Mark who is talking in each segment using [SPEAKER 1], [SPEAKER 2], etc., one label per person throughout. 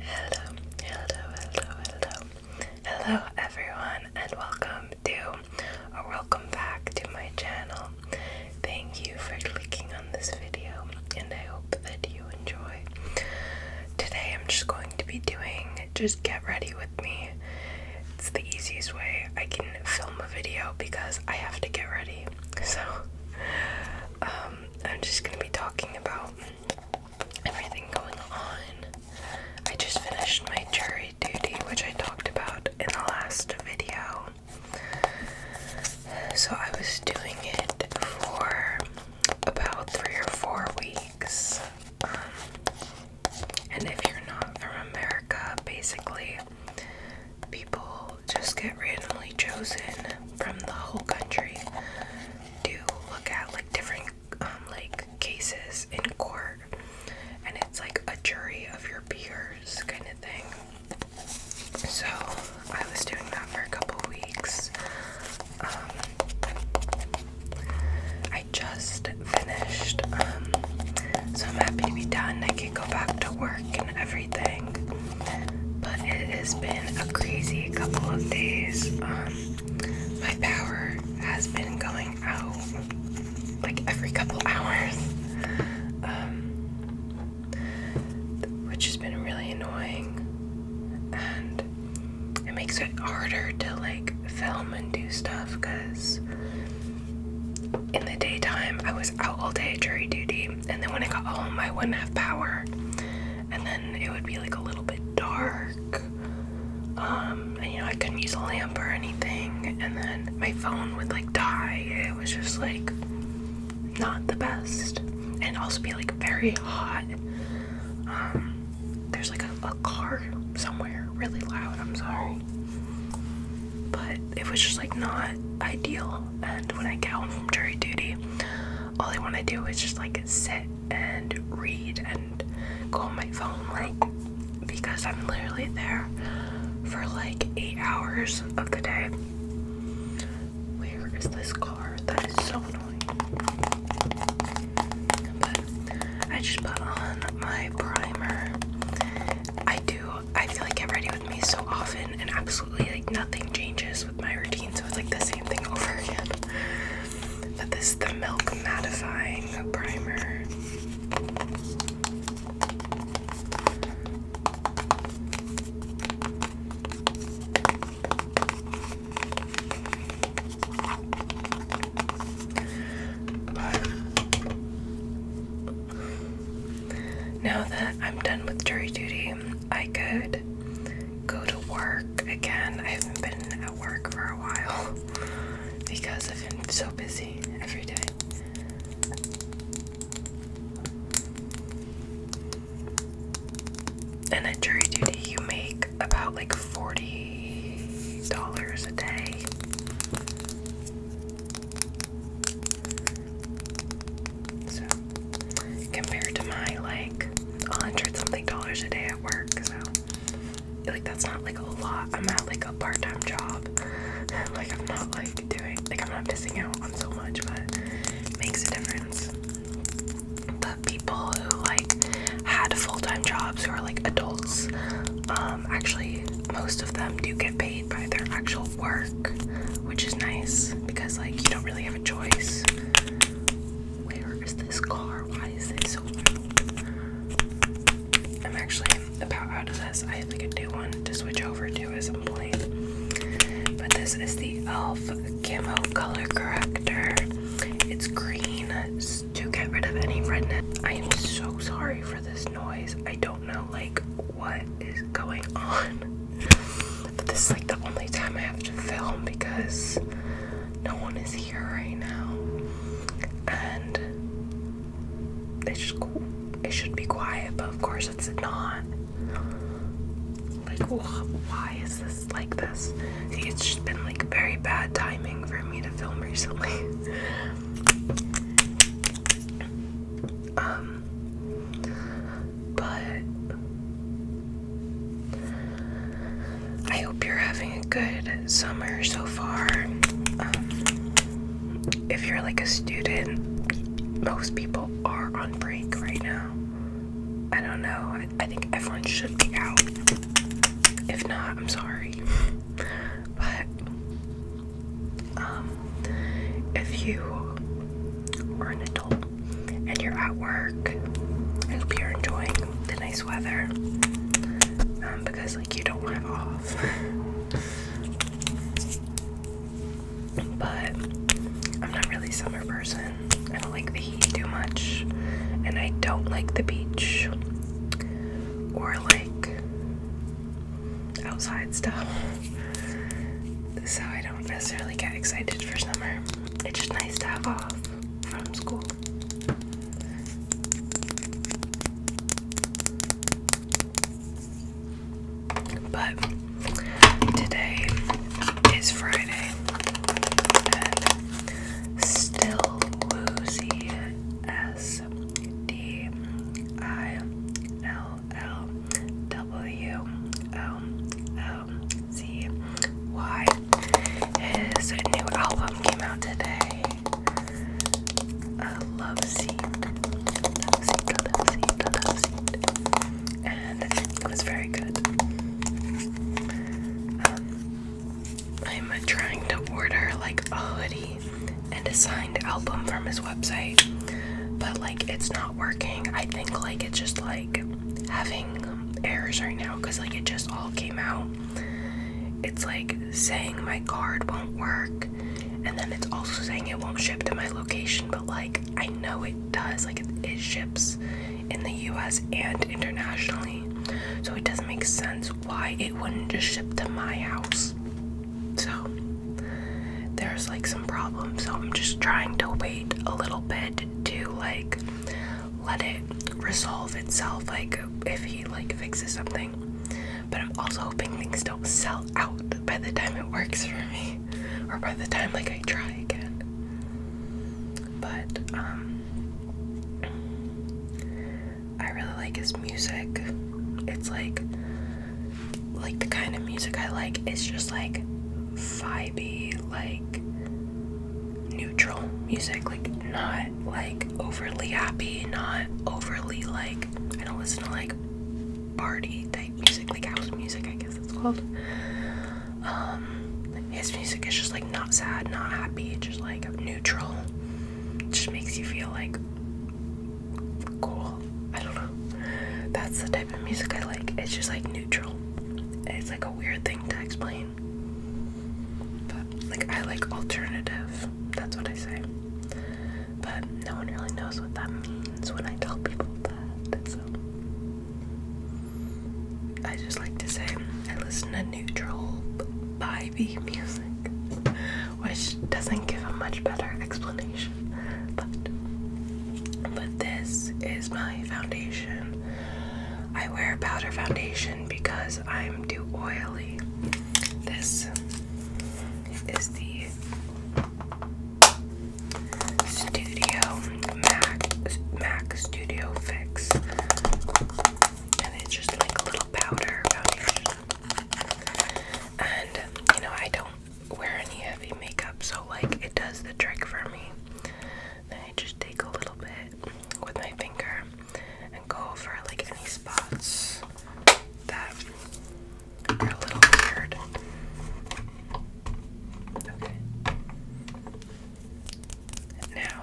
[SPEAKER 1] Hello, hello, hello, hello. Hello, everyone, and welcome to or welcome back to my channel. Thank you for clicking on this video, and I hope that you enjoy. Today, I'm just going to be doing just get ready with me. It's the easiest way I can film a video because I have to get ready. So, um, I'm just gonna be talking about everything going on. I just finished my jury duty, which I talked about in the last video. So I was doing it for about three or four weeks. Um, and if you're not from America, basically people just get randomly chosen from the whole country do look at like different um, like cases in court and it's like a jury of your peers kind of thing. So I was doing that for a couple weeks. Um, I just finished, so I'm happy to be done. I can go back to work and everything. But it has been a crazy couple of days. Um, my power has been going out like every couple hours, um, which has been really annoying. And it makes it harder to like film and do stuff because in the daytime I was out all day jury duty and then when I got home, I wouldn't have power, and then it would be like a little bit dark. Um, and you know, I couldn't use a lamp or anything, and then my phone would like die. It was just like not the best, and also be like very hot. Um, there's like a car somewhere really loud. I'm sorry, but it was just like not ideal. And when I got home from jury duty, all I want to do is just like sit and read and go on my phone, like, because I'm literally there for like eight hours of the day. Where is this car? That is so annoying. But I just put on my primer. I do, I feel like get ready with me so often, and absolutely like nothing changes with my routine, so it's like the same thing over again. But this is the Milk Mattifying Primer. But now that I'm done with jury duty, I could go to work again. I haven't been at work for a while because I've been so busy every day. And at jury duty, you make about like $40 a day. So compared to my like a hundred something dollars a day at work, so like that's not like a lot. I'm at like a part-time job. like I'm not like doing like I'm not missing out on so much, but makes a difference. But people who like had full-time jobs who are like adults, um, actually most of them do get paid by their actual work, which is nice because like you don't really have a choice. Where is this car? Why is this open? I'm actually about out of this. I have like a new one to switch over to at some point. But this is the e.l.f. Camo Color Corrector. It's green to get rid of any redness. I am so sorry for this noise. I don't know like what is going on? this is like the only time I have to film because no one is here right now. And it's just It should be quiet, but of course it's not. Like, why is this like this? it's just been like very bad timing for me to film recently. um, but I hope you're having a good summer so far. Um, if you're like a student, most people are on break right now. I don't know. I, think everyone should be out. If not, I'm sorry. but um, if you are an and you're at work I hope you're enjoying the nice weather um, because like you don't want have off but I'm not really a summer person I don't like the heat too much and I don't like the beach or like outside stuff so I don't necessarily get excited for summer. It's just nice to have off from school. But today is Friday and still woozy S D I L L W L L Z Y. His new album came out today. Uh, love seed, and it was very good. Um, I'm trying to order like a hoodie and a signed album from his website but like it's not working. I think like it's just like having errors right now because like it just all came out. It's like saying my card won't work, and then it's also saying it won't ship to my location, but like I know it does, like it, ships in the US and internationally, so it doesn't make sense why it wouldn't just ship to my house. So there's like some problems, so I'm just trying to wait a little bit to like let it resolve itself, like if he like fixes something. But I'm also hoping things don't sell out by the time it works for me, or by the time like I try again. But um, I really like his music. It's like like the kind of music I like is just like vibey, like neutral music, like not like overly happy, not overly like I don't listen to like party type music, like house music, I guess it's called. Um, his music is just like not sad, not happy, just like neutral. It just makes you feel like cool. I don't know. That's the type of music I like. It's just like neutral. It's like a weird thing to explain. But like I like alternative. That's what I say. But no one really knows what that means when I tell people that. So I just like to say I listen to neutral vibey music which doesn't give a much better explanation. But but this is my foundation. I wear powder foundation because I'm too oily. This is the Studio Mac Mac Studio Fix. And it's just like a little powder And you know, I don't wear any heavy makeup, so like it does the trick for me. Then I just take a little bit with my finger and go over like any spots that are a little weird. Now,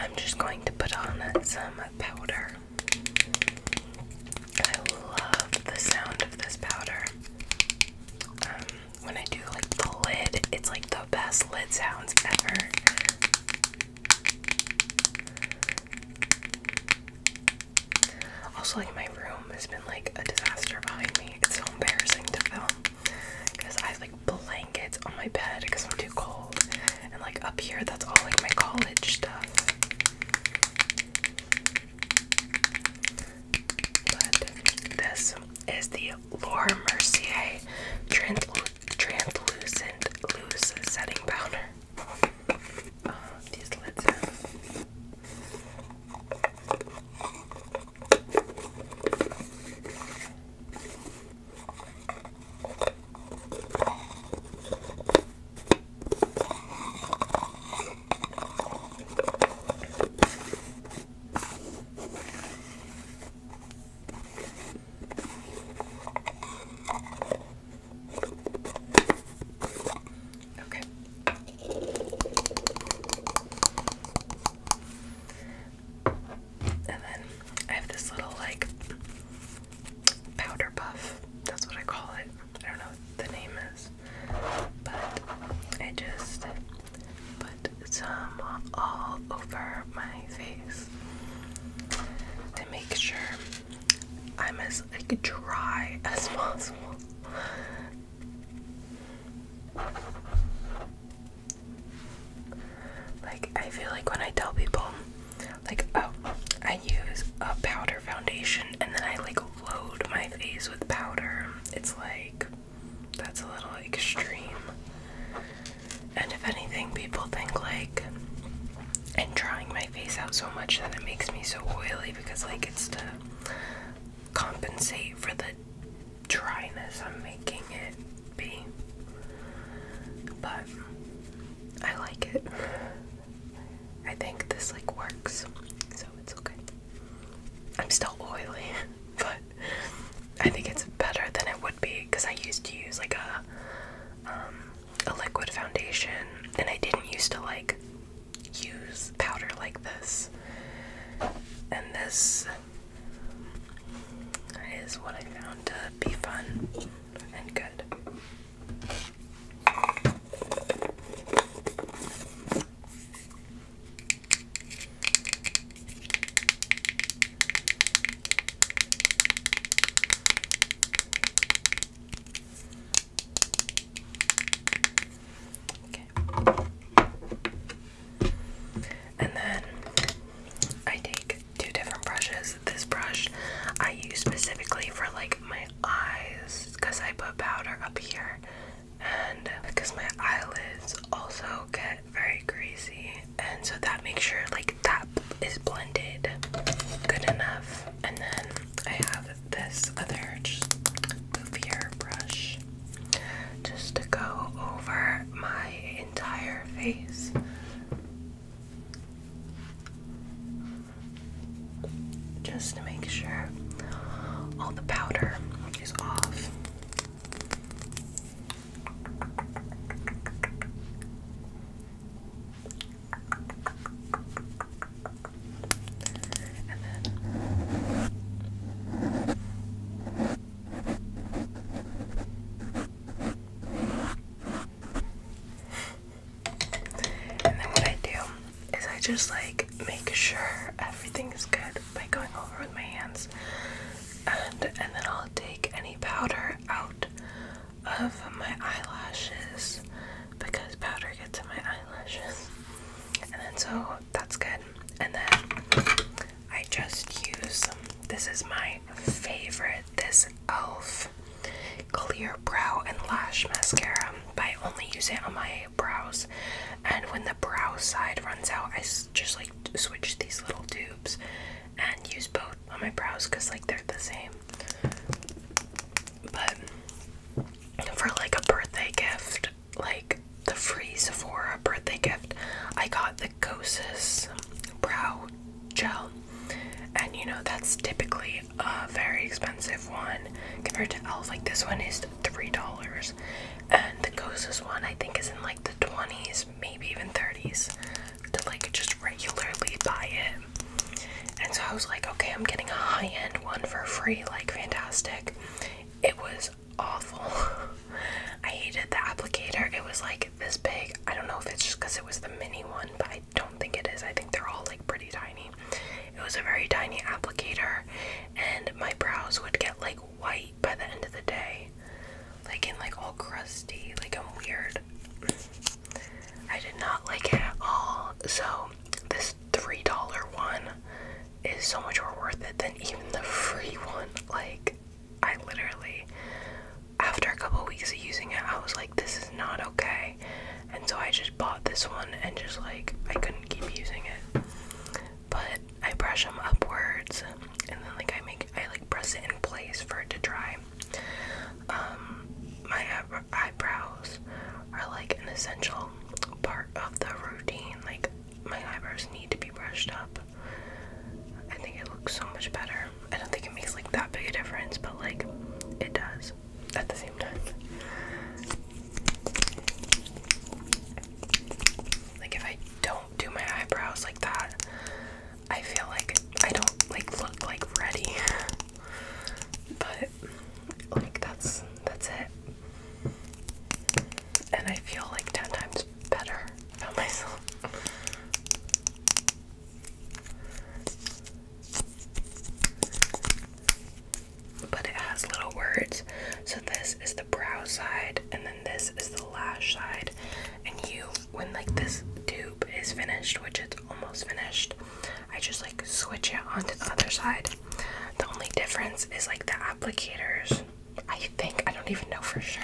[SPEAKER 1] I'm just going to put on some powder. I love the sound of this powder. Um, when I do like the lid, it's like the best lid sounds ever. Also, like my room has been like a disaster behind me. It's so embarrassing to film because I have like blankets on my bed because I'm too cold, and like up here, that's all like my college stuff this is the Laura Mercier Translucent Loose Setting Powder. Uh, these lids Okay. And then I have this little like powder puff. That's what I call it. I don't know the name is. But I just put some all over my face to make sure I'm as like dry as possible. Like I feel like when I tell people like oh I use a powder foundation and then I like load my face with powder. It's like that's a little extreme. And if anything, people think like I'm drying my face out so much that it makes me so oily because like it's to compensate for the dryness I'm making it be. But I like it. I think this like works, so it's okay. I'm still oily, but I think it's better than it would be because I used to use like a um, a liquid foundation, and I didn't used to like use powder like this. And this is what I found to be fun and good. Okay. And then I take two different brushes. This brush I use specifically for like my eyes because I put powder up here and because my eyelids also get very greasy and so that makes sure like that is blended good enough and then I have this other just brush just to go over my entire face just to make sure all the powder is off. And then and then what I do is I just like make sure everything is good by going over with my hands. And and then I'll take any powder out of my eyelashes because powder gets in my eyelashes. And then so that's good. And then I just use some this is my favorite. This e.l.f. Clear Brow and Lash Mascara, I only use it on my brows. And when the brow side runs out, I just like switch these little tubes and use both on my brows because like they're the same. But for like a birthday gift, like the free Sephora birthday gift, I got the Kosas brow gel, and you know that's typically a very expensive one compared to Elf. Like this one is three dollars, and the closest one I think is in like the twenties, maybe even thirties, to like just regularly buy it. And so I was like, okay, I'm getting a high end one for free, like fantastic. It was awful. I hated the applicator. It was like this big. I don't know if it's just because it was the mini one, but I don't think it is. I think they're all like pretty tiny. It was a very tiny applicator, and my brows would get like white by the end of the day, like in like all crusty. Like I'm weird. I did not like it at all. So this three dollar one is so much more worth it than even the free one. Like I literally after a couple weeks of using it, I was like, this is not okay. And so I just bought this one and just like, I couldn't keep using it. But I brush them upwards and then like I make, I like press it in place for it to dry. Um, my eyebrows are like an essential part of the routine. Like my eyebrows need to be brushed up. I think it looks so much better I don't think it makes like that big a difference, but like it does at the same time. Like if I don't do my eyebrows like that, I feel like I don't like look like ready. but like that's that's it. And I feel like ten times better about myself. But it has little words. So this is the brow side, and then this is the lash side. And you, when like this tube is finished, which it's almost finished, I just like switch it onto the other side. The only difference is like the applicators. I think I don't even know for sure.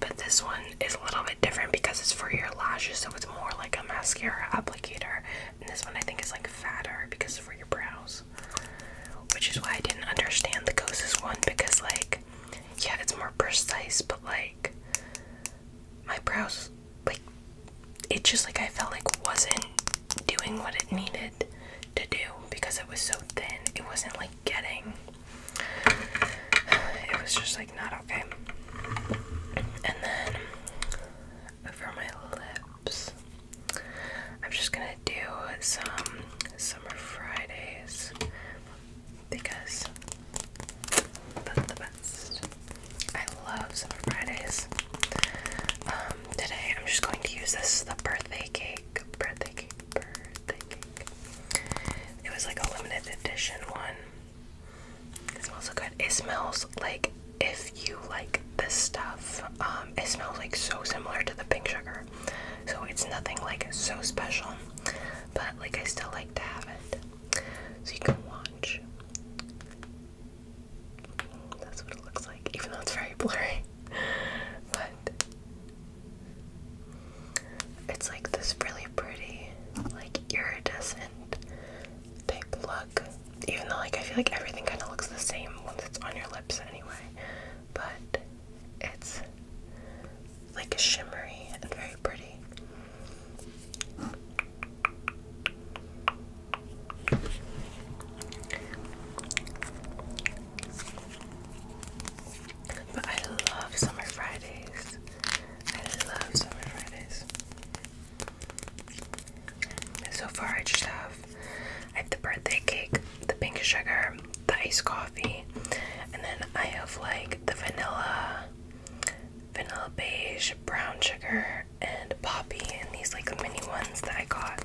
[SPEAKER 1] But this one is a little bit different because it's for your lashes, so it's more like a mascara applicator. And this one I think is like fatter because it's for your brows. Which is why I didn't understand the Ghost's one because, like, yeah, it's more precise, but like, my brows, like, it just like I felt like wasn't doing what it needed to do because it was so thin. It wasn't like getting. It was just like not okay. And then for my lips, I'm just gonna do some Summer Fridays because that's the best. I love Summer Fridays. Um, today I'm just going to use this the birthday cake, birthday cake, it was like a limited edition one. It smells so good. It smells like if you like this stuff, um, it smells like so similar to the pink sugar. So it's nothing like so special, but like I still like to have it. So you can watch. That's what it looks like, even though it's very blurry. But it's like this really pretty, like iridescent type look. Even though, like, I feel like everything kind of looks the same once it's on your lips anyway. But it's like a shimmery and very pretty. But I love summer Fridays. I love summer Fridays. So far, I just have I have the birthday cake, the pink sugar, the iced coffee, and then I have like the vanilla, vanilla beige, brown sugar, and poppy, and these like mini ones that I got.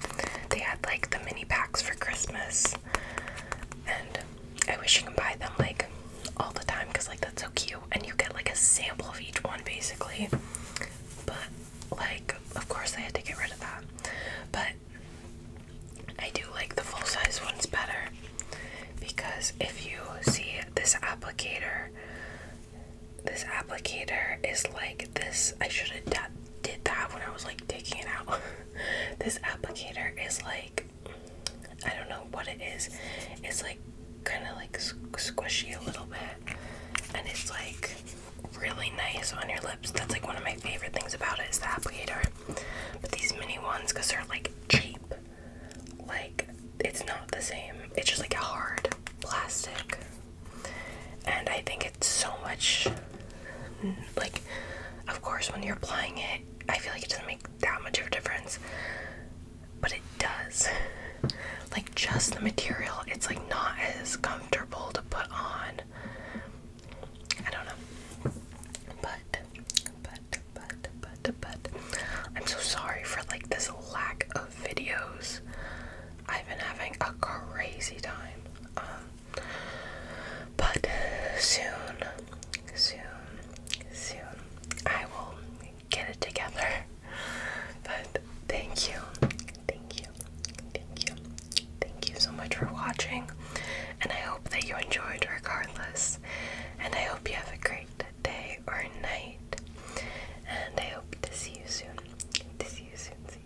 [SPEAKER 1] They had like the mini packs for Christmas and I wish you can buy them like all the time because like that's so cute and you get like a sample of each one basically but like of course I had to get rid of that but I do like the full size ones better because if you see this applicator this applicator is like this I should have done did that when I was like taking it out. this applicator is like I don't know what it is. It's like kind of like squishy a little bit, and it's like really nice on your lips. That's like one of my favorite things about it is the applicator. But these mini ones, cause they're like cheap, like it's not the same. It's just like a hard plastic and I think it's so much like of course when you're applying it I feel like it doesn't make that much of a difference but it does like just the material it's like not as comfortable to put on I don't know but but but but but I'm so sorry for like this lack of videos I've been having a crazy time um, but uh, soon, soon, soon, I will get it together. But thank you, thank you, thank you, thank you so much for watching. And I hope that you enjoyed regardless. And I hope you have a great day or night. And I hope to see you soon. To see you soon.